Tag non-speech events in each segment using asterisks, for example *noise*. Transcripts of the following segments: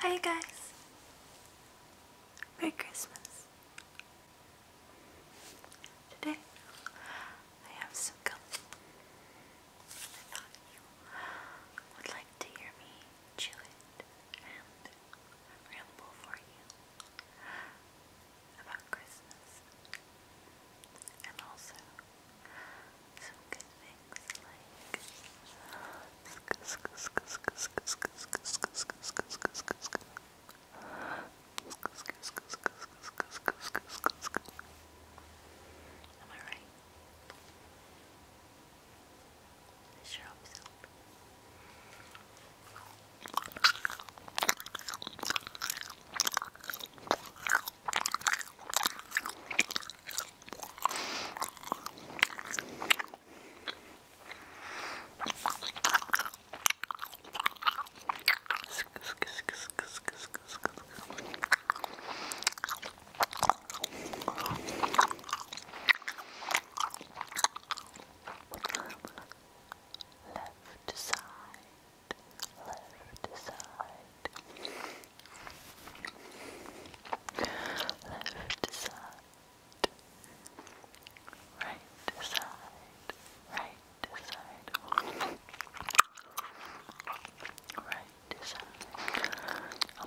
Hi guys! Merry Christmas! Today I have some gum. I thought you would like to hear me chew it and ramble for you about Christmas and also some good things. Am I right? I sure hope so. Left side, left side, left side, right side, right side, right side. Um, um, um, um, um,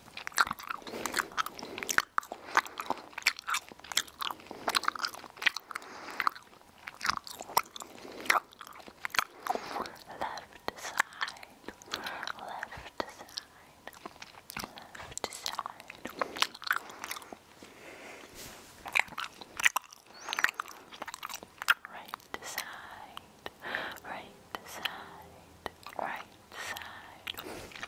Left side, left side, left side. Right side, right side, right side.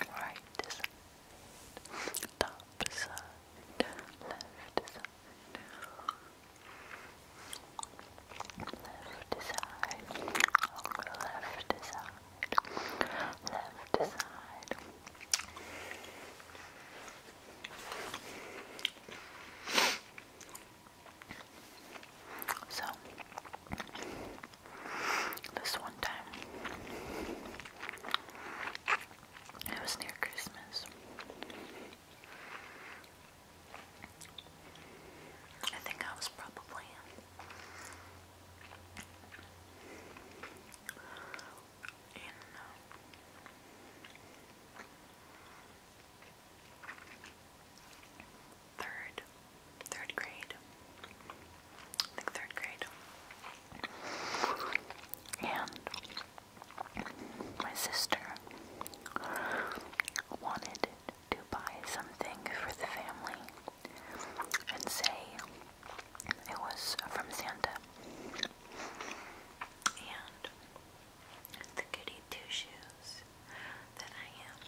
Right side, top side, left side. Left side, left side, left side. So, this one time, it was near Christmas. I think I was probably in third, third grade. I think third grade. And my sister wanted to buy something for the family and say it was from Santa and the goody two shoes that I am.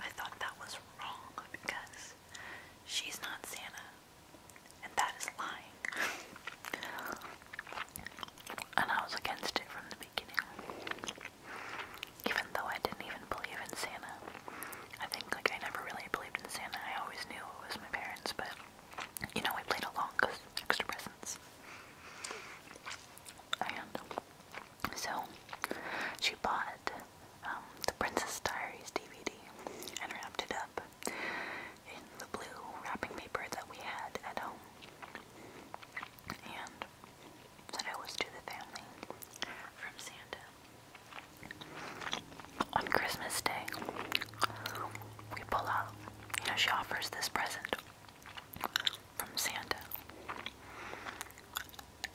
I thought that was wrong because she's not Santa, and that is lying. and I was against it from the beginning. Even though I didn't even believe in Santa. I think like I never really believed in Santa. I always knew it was my parents, but you know, we played along extra presents. And so she bought um, the Princess Diaries DVD and wrapped it up in the blue wrapping paper that we had at home. And said it was to the family from Santa on Christmas Day, we pull out, you know, she offers this present from Santa.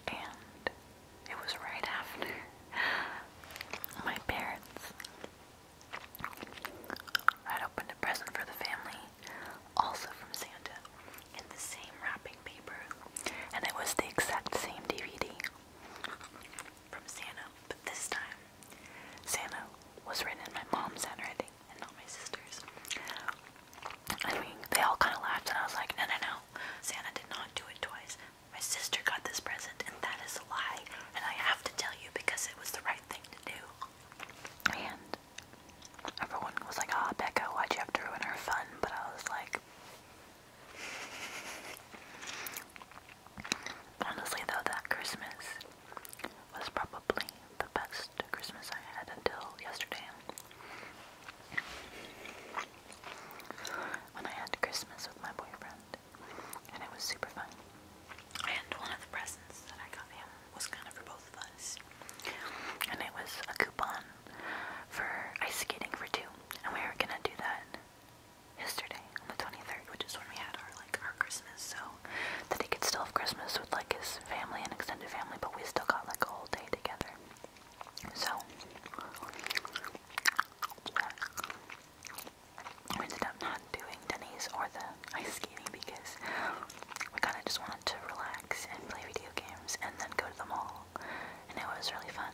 And it was right after *laughs* my parents had opened a present for the family, also from Santa, in the same wrapping paper. And it was the exact same DVD from Santa, but this time Santa was written in my mom's handwriting and not my sister's. I mean, they all kind of laughed, and I was like, no, no, no. Santa did not do it twice. My sister got this present, and that is a lie. And I have to tell you because it was the right thing to do. And everyone was like, ah, Becca, why'd you have to ruin her fun? But I was like, Honestly, though, that Christmas was probably the best Christmas I had until yesterday. When I had Christmas with my boyfriend, and it was super fun. And one of the presents that I got him was kind of for both of us. And it was a coupon for ice skating for two, and we were gonna do that yesterday on the 23rd, which is when we had our like our Christmas. So that he could still have Christmas with like his family and extended family, but we still got like a whole day together. So we ended up not doing Denny's or the ice skating because we kind of just wanted to relax and play video games and then go to the mall, and it was really fun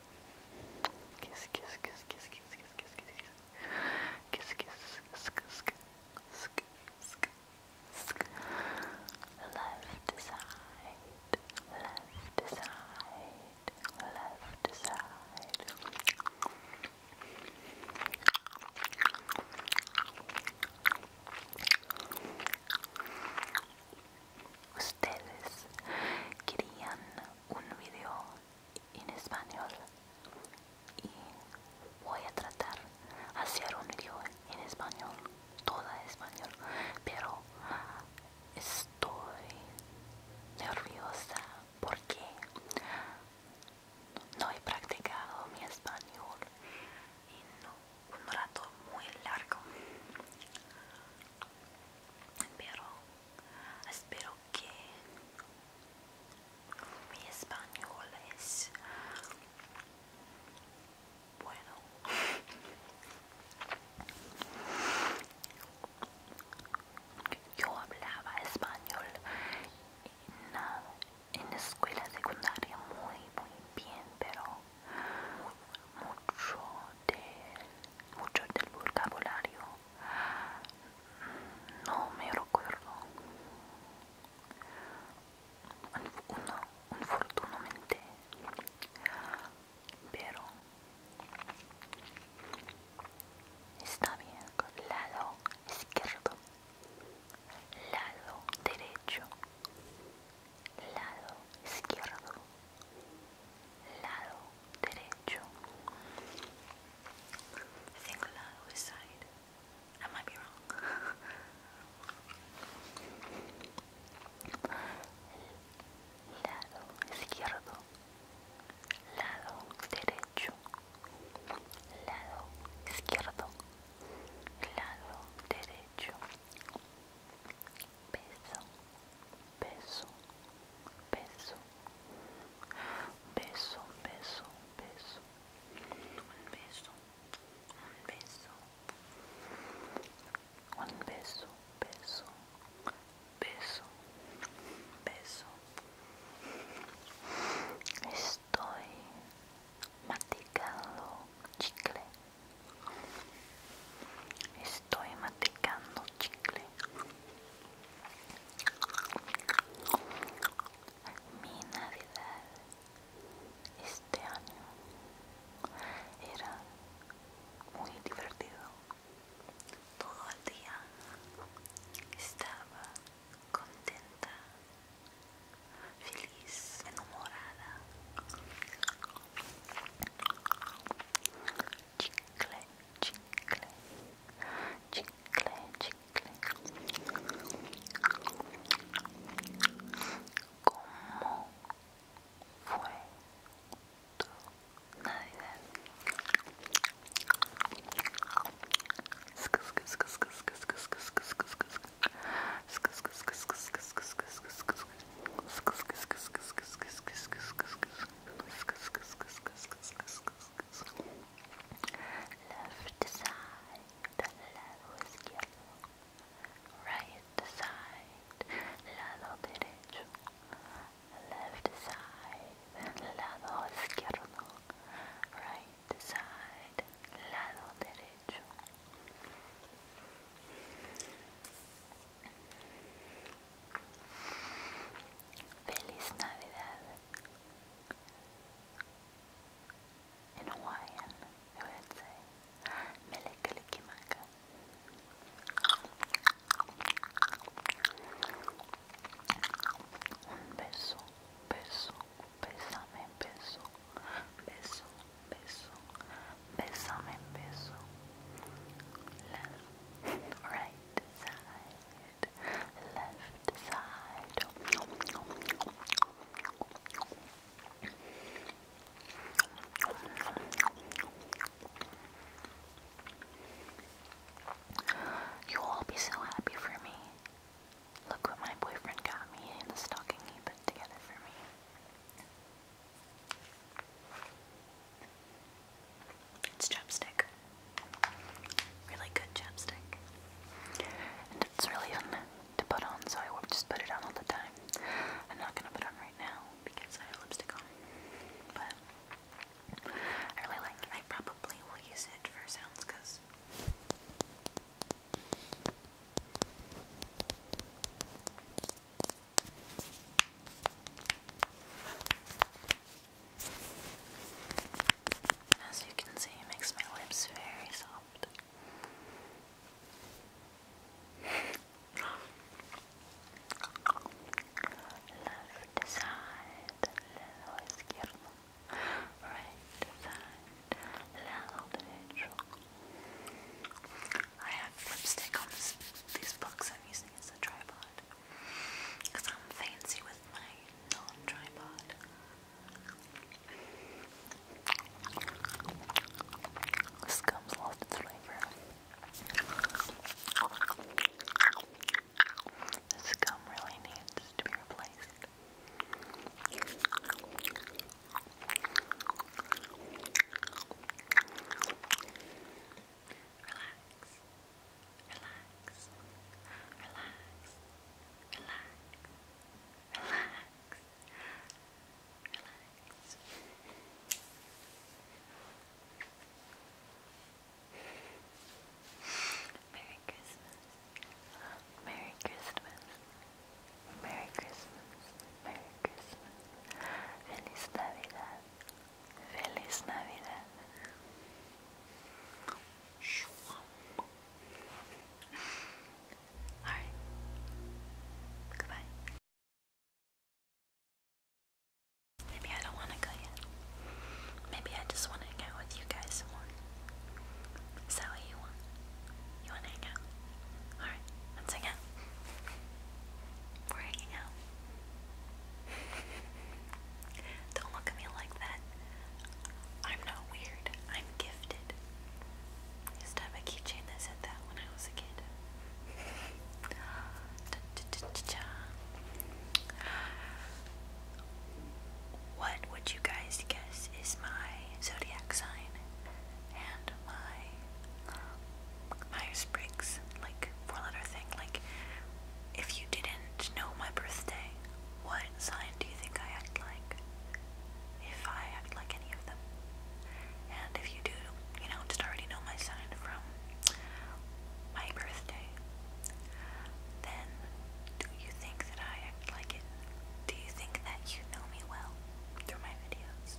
Kiss, kiss, kiss, kiss, kiss, kiss, kiss, kiss, kiss, kiss, kiss, sk, sk, sk, sk, sk. Left side, left side, left side. Ustedes querían un video en español y voy a tratar hacer un video en español toda español pero estoy nerviosa porque no he practicado mi español en un rato muy largo pero espero que mi español es bueno yo hablaba español en la, en escuela secundaria muy muy bien pero mucho de mucho del vocabulario no me recuerdo fortunamente pero está bien lado izquierdo lado derecho lado izquierdo lado derecho. lado side. I ah, might be wrong. *laughs* lado izquierdo, lado derecho, lado izquierdo, lado derecho beso, beso, beso, beso, beso, beso, un beso, un beso, un beso. Estoy maticando chicle. Estoy maticando chicle mi navidad este año era muy divertido todo el día estaba contenta feliz enamorada chicle, chicle, chicle, chicle. ¿Cómo fue tu Navidad? Left side, lado izquierdo. Right side, lado derecho. Left side, lado izquierdo. Right side, lado derecho. Feliz Navidad in Hawaiian, I would say. Melekalikimaka. Un beso, beso, besame, beso, beso, beso, besame, beso. Alright. left side. You all be so happy for me. Look what my boyfriend got me in the stocking he put together for me. It's chapstick. Really good chapstick. And it's really fun to put on, so I just put it on all the time. I'm not gonna put on right now because I have lipstick on. But I really like it. I probably will use it for sounds because as you can see, it makes my lips very soft. Left side, lado izquierdo. Right side, lado derecho. I have lipstick on this, this I'm using as a tripod. Because I'm fancy with my non tripod. This gum's lost its flavor. This gum really needs to be replaced relax, relax, relax, relax, relax, relax. Merry Christmas. Merry Christmas. Merry Christmas. Merry Christmas. Feliz Navidad. Feliz Navidad. Alright. Goodbye. Maybe I don't want to go yet. Maybe I just want to hang out with you guys more. Is that what you want? You want to hang out? Alright, let's hang out. We're hanging out. Don't look at me like that. I'm not weird. I'm gifted. used to have a keychain that said that when I was a kid. *laughs* What would you guys guess is my zodiac sign and my Myers Briggs like four letter thing? Like if you didn't know my birthday, what sign do you think I act like? If I act like any of them. And if you do, you know, just already know my sign from my birthday, then do you think that I act like it? Do you think that you know me well through my videos?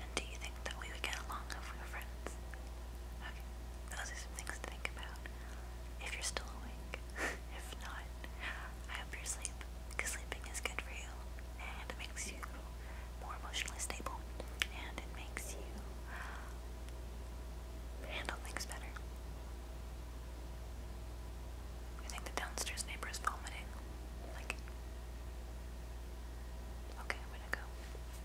And do you that we would get along if we were friends. Okay, those are some things to think about. If you're still awake, *laughs* if not, I hope you're sleeping, because sleeping is good for you, and it makes you more emotionally stable, and it makes you handle things better. I think the downstairs neighbor is vomiting. okay, I'm gonna go.